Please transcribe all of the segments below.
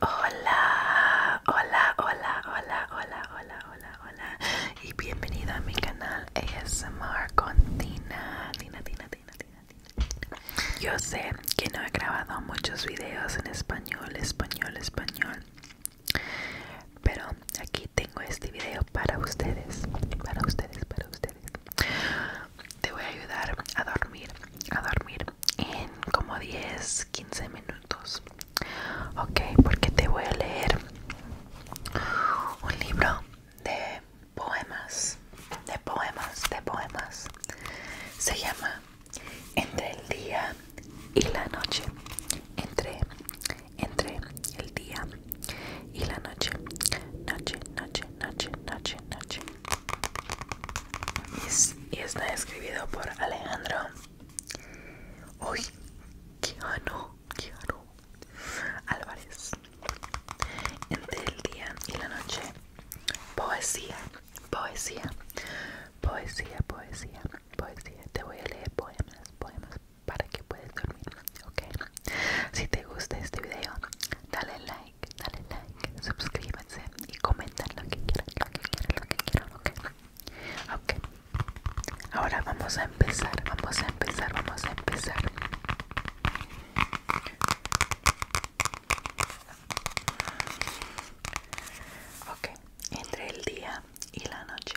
Hola, hola, hola, hola, hola, hola, hola, hola y bienvenido a mi canal ASMR con Tina, Tina, Tina, Tina, Tina, Tina. Yo sé que no he grabado muchos videos en español, español, español, pero aquí tengo este video para ustedes, para ustedes, para ustedes. Te voy a ayudar a dormir, a dormir en como 10 15 minutos ok porque te voy a leer un libro de poemas de poemas de poemas se llama entre el día y la noche entre entre el día y la noche noche noche noche noche noche y, está escribido por Alejandro Uy, qué Keanu Álvarez Entre el día y la noche Poesía, poesía, poesía, poesía, poesía Te voy a leer poemas, poemas para que puedas dormir, Si te gusta este video, dale like, dale like, suscríbete y comentar lo que quieran, lo que quieran, lo que quieran, ok. Ok, ahora vamos a empezar, vamos a empezar, vamos a empezar. Ok, entre el día y la noche.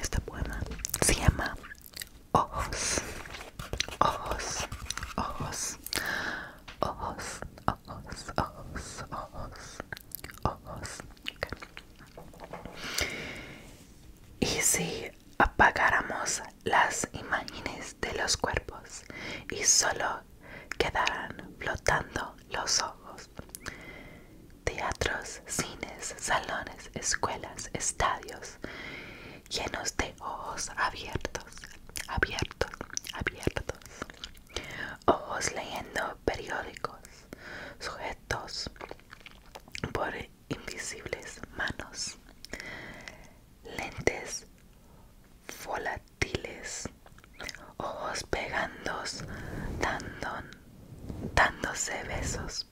Esta buena se llama Ojos, Ojos, Ojos, Ojos, Ojos, Ojos, Ojos, Ojos. Okay. Y si apagáramos las imágenes de los cuerpos y solo quedarán flotando los ojos. Teatros, cines, salones, escuelas, estadios, llenos de ojos abiertos, abiertos, abiertos. Ojos leyendo periódicos, sujetos por invisibles manos lentes volátiles, ojos pegándose, dándose besos,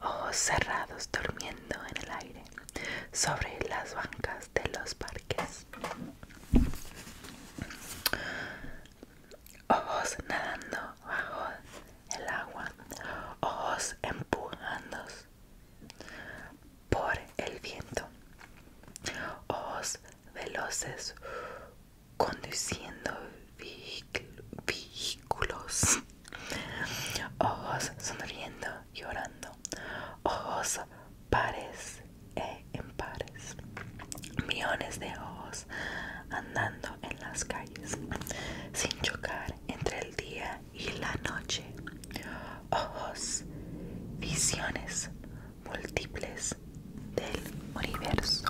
ojos cerrados durmiendo en el aire, sobre las bancas de los parques. Ojos nadando bajo el agua, ojos empujando por el viento. Ojos veloces conduciendo vehículos. Ojos sonriendo, llorando. Ojos pares e impares. Millones de ojos andando en las calles. Sin chocar entre el día y la noche, ojos, visiones múltiples del universo.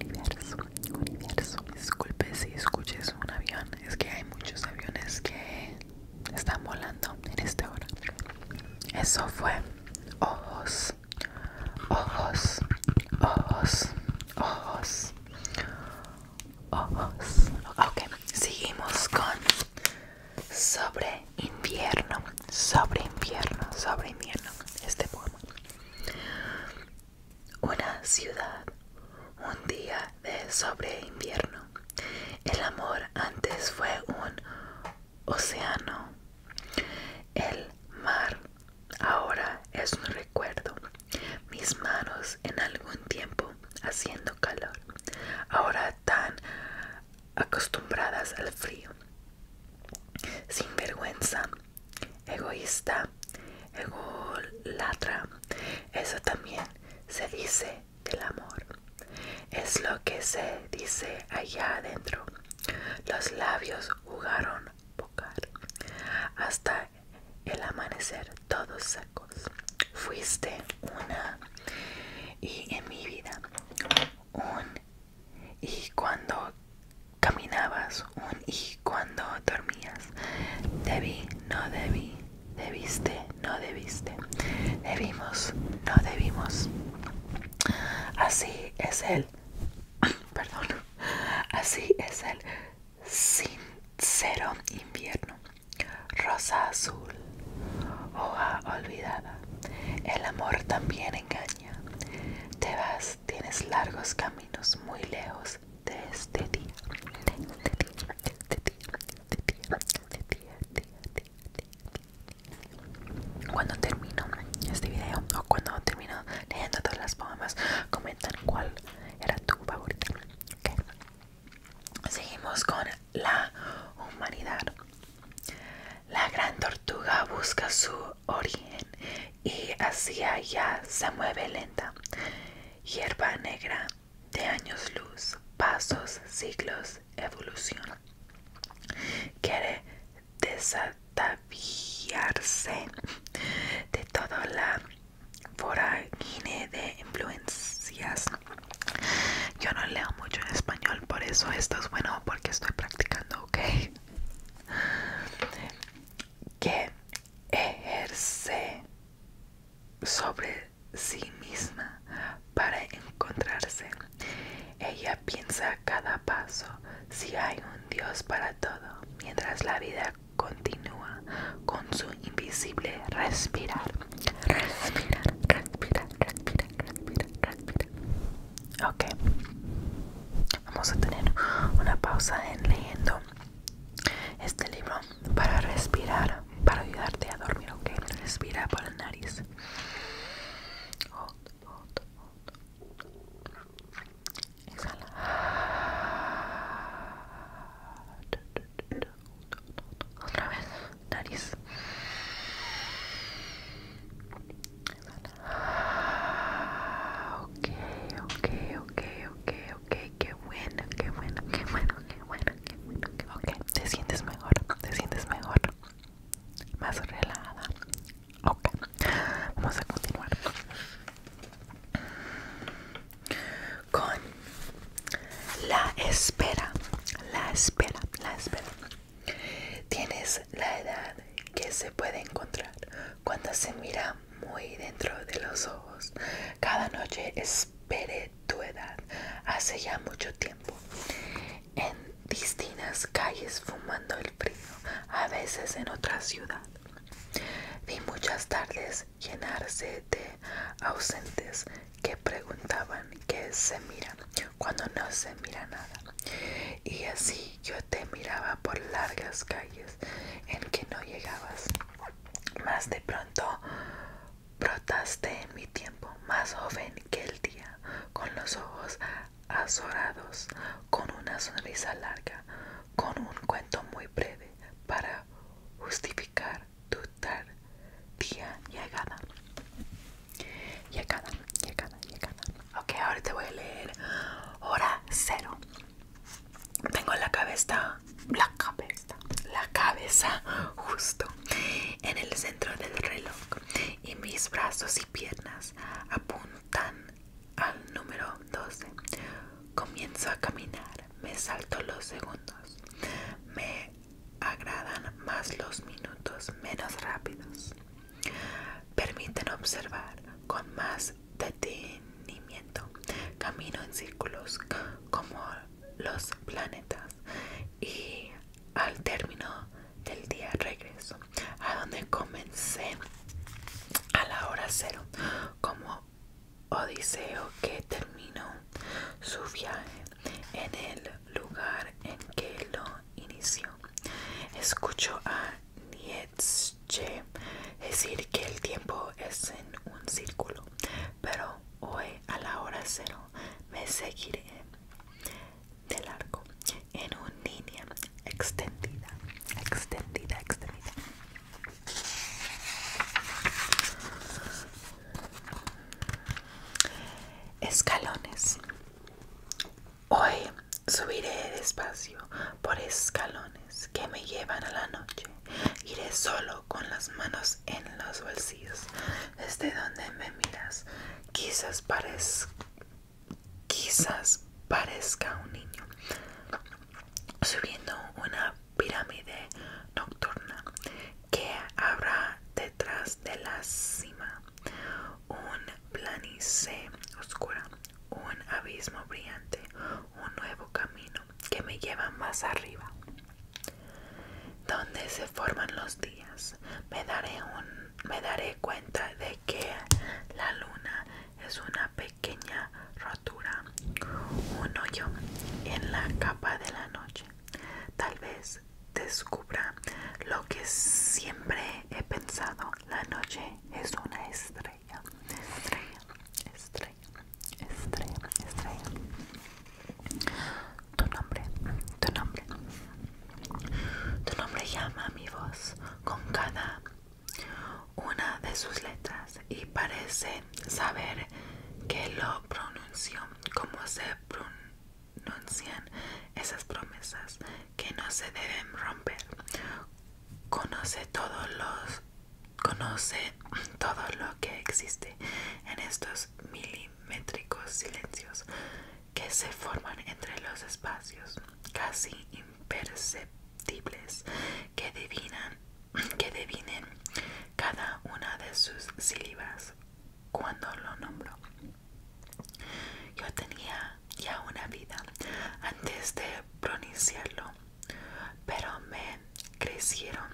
Universo, universo. Disculpe si escuches un avión, es que hay muchos aviones que están volando en esta hora. Eso fue ojos, ojos, ojos, ojos, ojos. Ok, seguimos con sobre invierno, sobre invierno, sobre invierno. Este poema. Una ciudad, un día de sobre invierno. El amor antes fue un océano. El mar ahora es un recuerdo. Mis manos en algún tiempo haciendo calor. Ahora tan acostumbradas al frío. sin vergüenza, egoísta, egolatra, eso también se dice del amor. Es lo que se dice allá adentro. Los labios jugaron bocal hasta el amanecer todos sacos. Fuiste una y en mi vida un y cuando caminabas, un y cuando dormías. Debí, no debí, debiste, no debiste. Debimos, no debimos. Así es el, perdón, así es el sincero invierno. Rosa azul, hoja olvidada, el amor también engaña. Te vas, tienes largos caminos muy lejos de este día. Cuando termino este video o cuando termino leyendo todas las poemas, comentan cuál era tu favorita. Seguimos con la humanidad. La gran tortuga busca su origen y hacia allá se mueve lenta. Hierba negra de años luz, pasos, siglos, evolución. Quiere desataviarse de toda la vorágine de influencias yo no leo mucho en español, por eso esto es bueno porque estoy practicando, ¿ok? Que ejerce sobre sí misma para encontrarse. Ella piensa cada paso si hay un Dios para todo, mientras la vida continúa con su invisible respirar. Respira, respira, respira, respira, respira. Ok. Vamos a tener una pausa en leyendo este libro para respirar, para ayudarte a dormir, ok. Respira por el nariz. Exhala otra vez, nariz. Ok, ok, ok, ok, ok, qué bueno, qué bueno, qué bueno, qué bueno, qué bueno. Qué bueno. Ok, te sientes mejor, te sientes mejor, más relajada. Ok, vamos a continuar con la espera, la espera, la espera. Tienes la edad que se puede encontrar cuando se mira muy dentro de los ojos. Cada noche espere tu edad hace ya mucho tiempo. En distintas calles fumando el frío, a veces en otra ciudad. Vi muchas tardes llenarse de ausentes que preguntaban qué se mira cuando no se mira nada. Y así yo te miraba por largas calles en que no llegabas. Más de pronto brotaste en mi tiempo, más joven que el día, con los ojos azorados, con una sonrisa larga, con un cuento muy breve para justificar tu tardía llegada. Llegada, llegada, llegada. Ok, ahora te voy a leer hora cero. Tengo la cabeza, la cabeza, la cabeza justo en el centro del reloj y mis brazos y piernas apuntan al número 12. Comienzo a caminar, me salto los segundos, me agradan más los minutos menos rápidos. Permiten observar con más detenimiento camino en círculos como los planetas y al término del día regreso a donde comencé a la hora cero como Odiseo que terminó su viaje en el lugar en que lo inició. Escucho a Nietzsche decir que el tiempo es en un círculo, pero hoy a la hora cero me seguiré del arco en una línea extendida, extendida, extendida. Escalones. Hoy subiré despacio por escalones que me llevan a la noche. Iré solo con las manos en los bolsillos. Desde donde me miras, quizás parezca un niño subiendo una pirámide nocturna que habrá detrás de la cima, un planice oscura, un abismo brillante, un nuevo camino que me lleva más arriba. Donde se forman los días, me daré, me daré cuenta de que la luna es una pequeña rotura, un hoyo en la capa de la noche. Tal vez descubra lo que siempre he pensado. La noche es una estrella. Estrella, estrella, estrella, estrella. Tu nombre, tu nombre. Tu nombre llama mi voz con cada una de sus letras y parece saber que lo pronuncio como se pronuncia anuncian esas promesas que no se deben romper. Conoce todos los conoce todo lo que existe en estos milimétricos silencios que se forman entre los espacios casi imperceptibles que divinan que devinen cada una de sus sílabas cuando lo nombró. Yo tenía ya una vida antes de pronunciarlo, pero me crecieron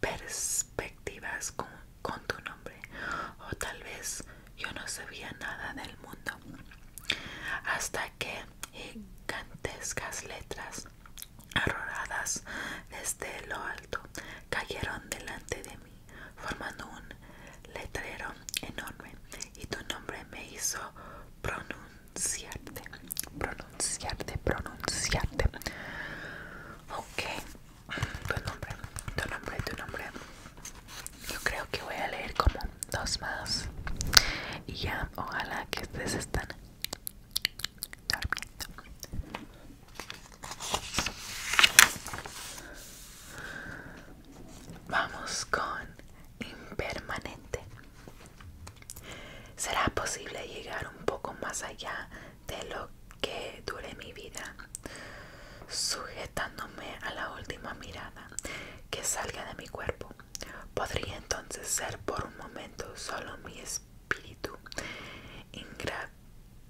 perspectivas con, con tu nombre, o tal vez yo no sabía nada del mundo hasta que gigantescas letras arroradas desde lo alto, cayeron delante de mí, formando un letrero enorme, y tu nombre me hizo pronunciarte, pronunciarte, pronunciarte. Ok, tu nombre, tu nombre, tu nombre. Yo creo que voy a leer como dos más. Y ya, ojalá que ustedes están dormiendo. Vamos con impermanente. ¿Será posible llegar un poco más allá de lo que dure mi vida? Sujetándome a la última mirada que salga de mi cuerpo. Podría entonces ser por un momento solo mi espíritu ingrato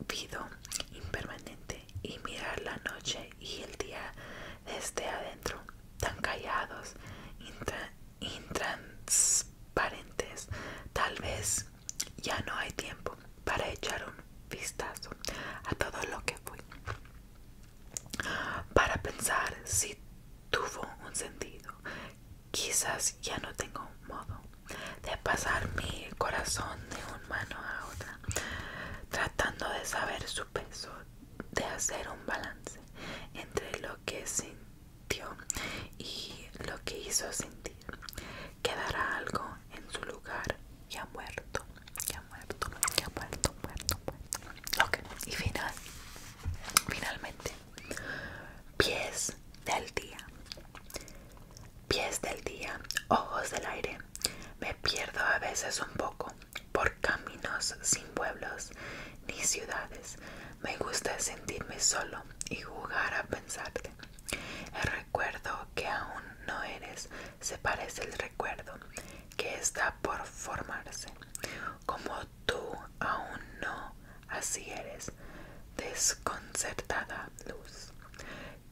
vido impermanente y mirar la noche y el día desde adentro, tan callados, intransparentes. Tal vez ya no hay tiempo para echar un vistazo a todo lo que fue, para pensar si tuvo un sentido, quizás ya no tengo modo de pasar mi corazón de un mano a otra, tratando de saber su peso, de hacer un balance entre lo que sintió y lo que hizo sentir. Quedará algo en su lugar y ha muerto, ya muerto, ya muerto, muerto, muerto. Ok, y final, finalmente Pies del día. Pies del día, ojos del aire. Me pierdo a veces un poco por caminos sin pueblos ni ciudades. Me gusta sentirme solo y jugar a pensarte. El recuerdo que aún no eres se parece al recuerdo que está por formarse. Como tú aún no así eres, desconcertada luz,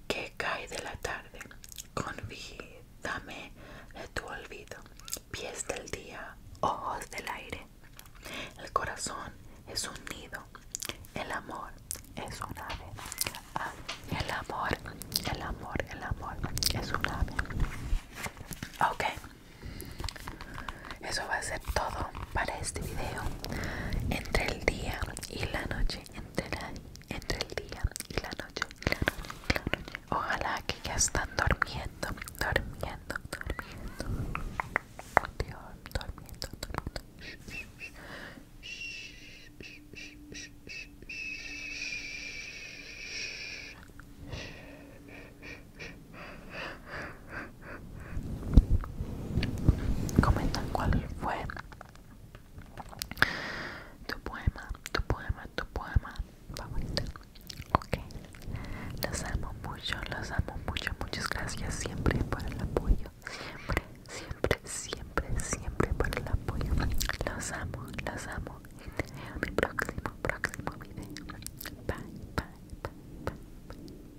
que cae de la tarde, convídame de tu olvido, pies del día, ojos del aire. El corazón es un nido, el amor es un ave. Ah, el amor, el amor, el amor es un ave. Ok eso va a ser todo para este video entre el día y la noche entre, entre el día y la noche, ojalá que ya están durmiendo durmiendo durmiendo durmiendo durmiendo, durmiendo. Comenta cuál fue tu poema, tu poema, tu poema favorito. Ok, los amo mucho, los amo mucho. Muchas gracias siempre por el apoyo. Siempre, siempre, siempre, siempre por el apoyo. Los amo, los amo. Y en mi próximo, próximo video. bye, bye, bye. bye.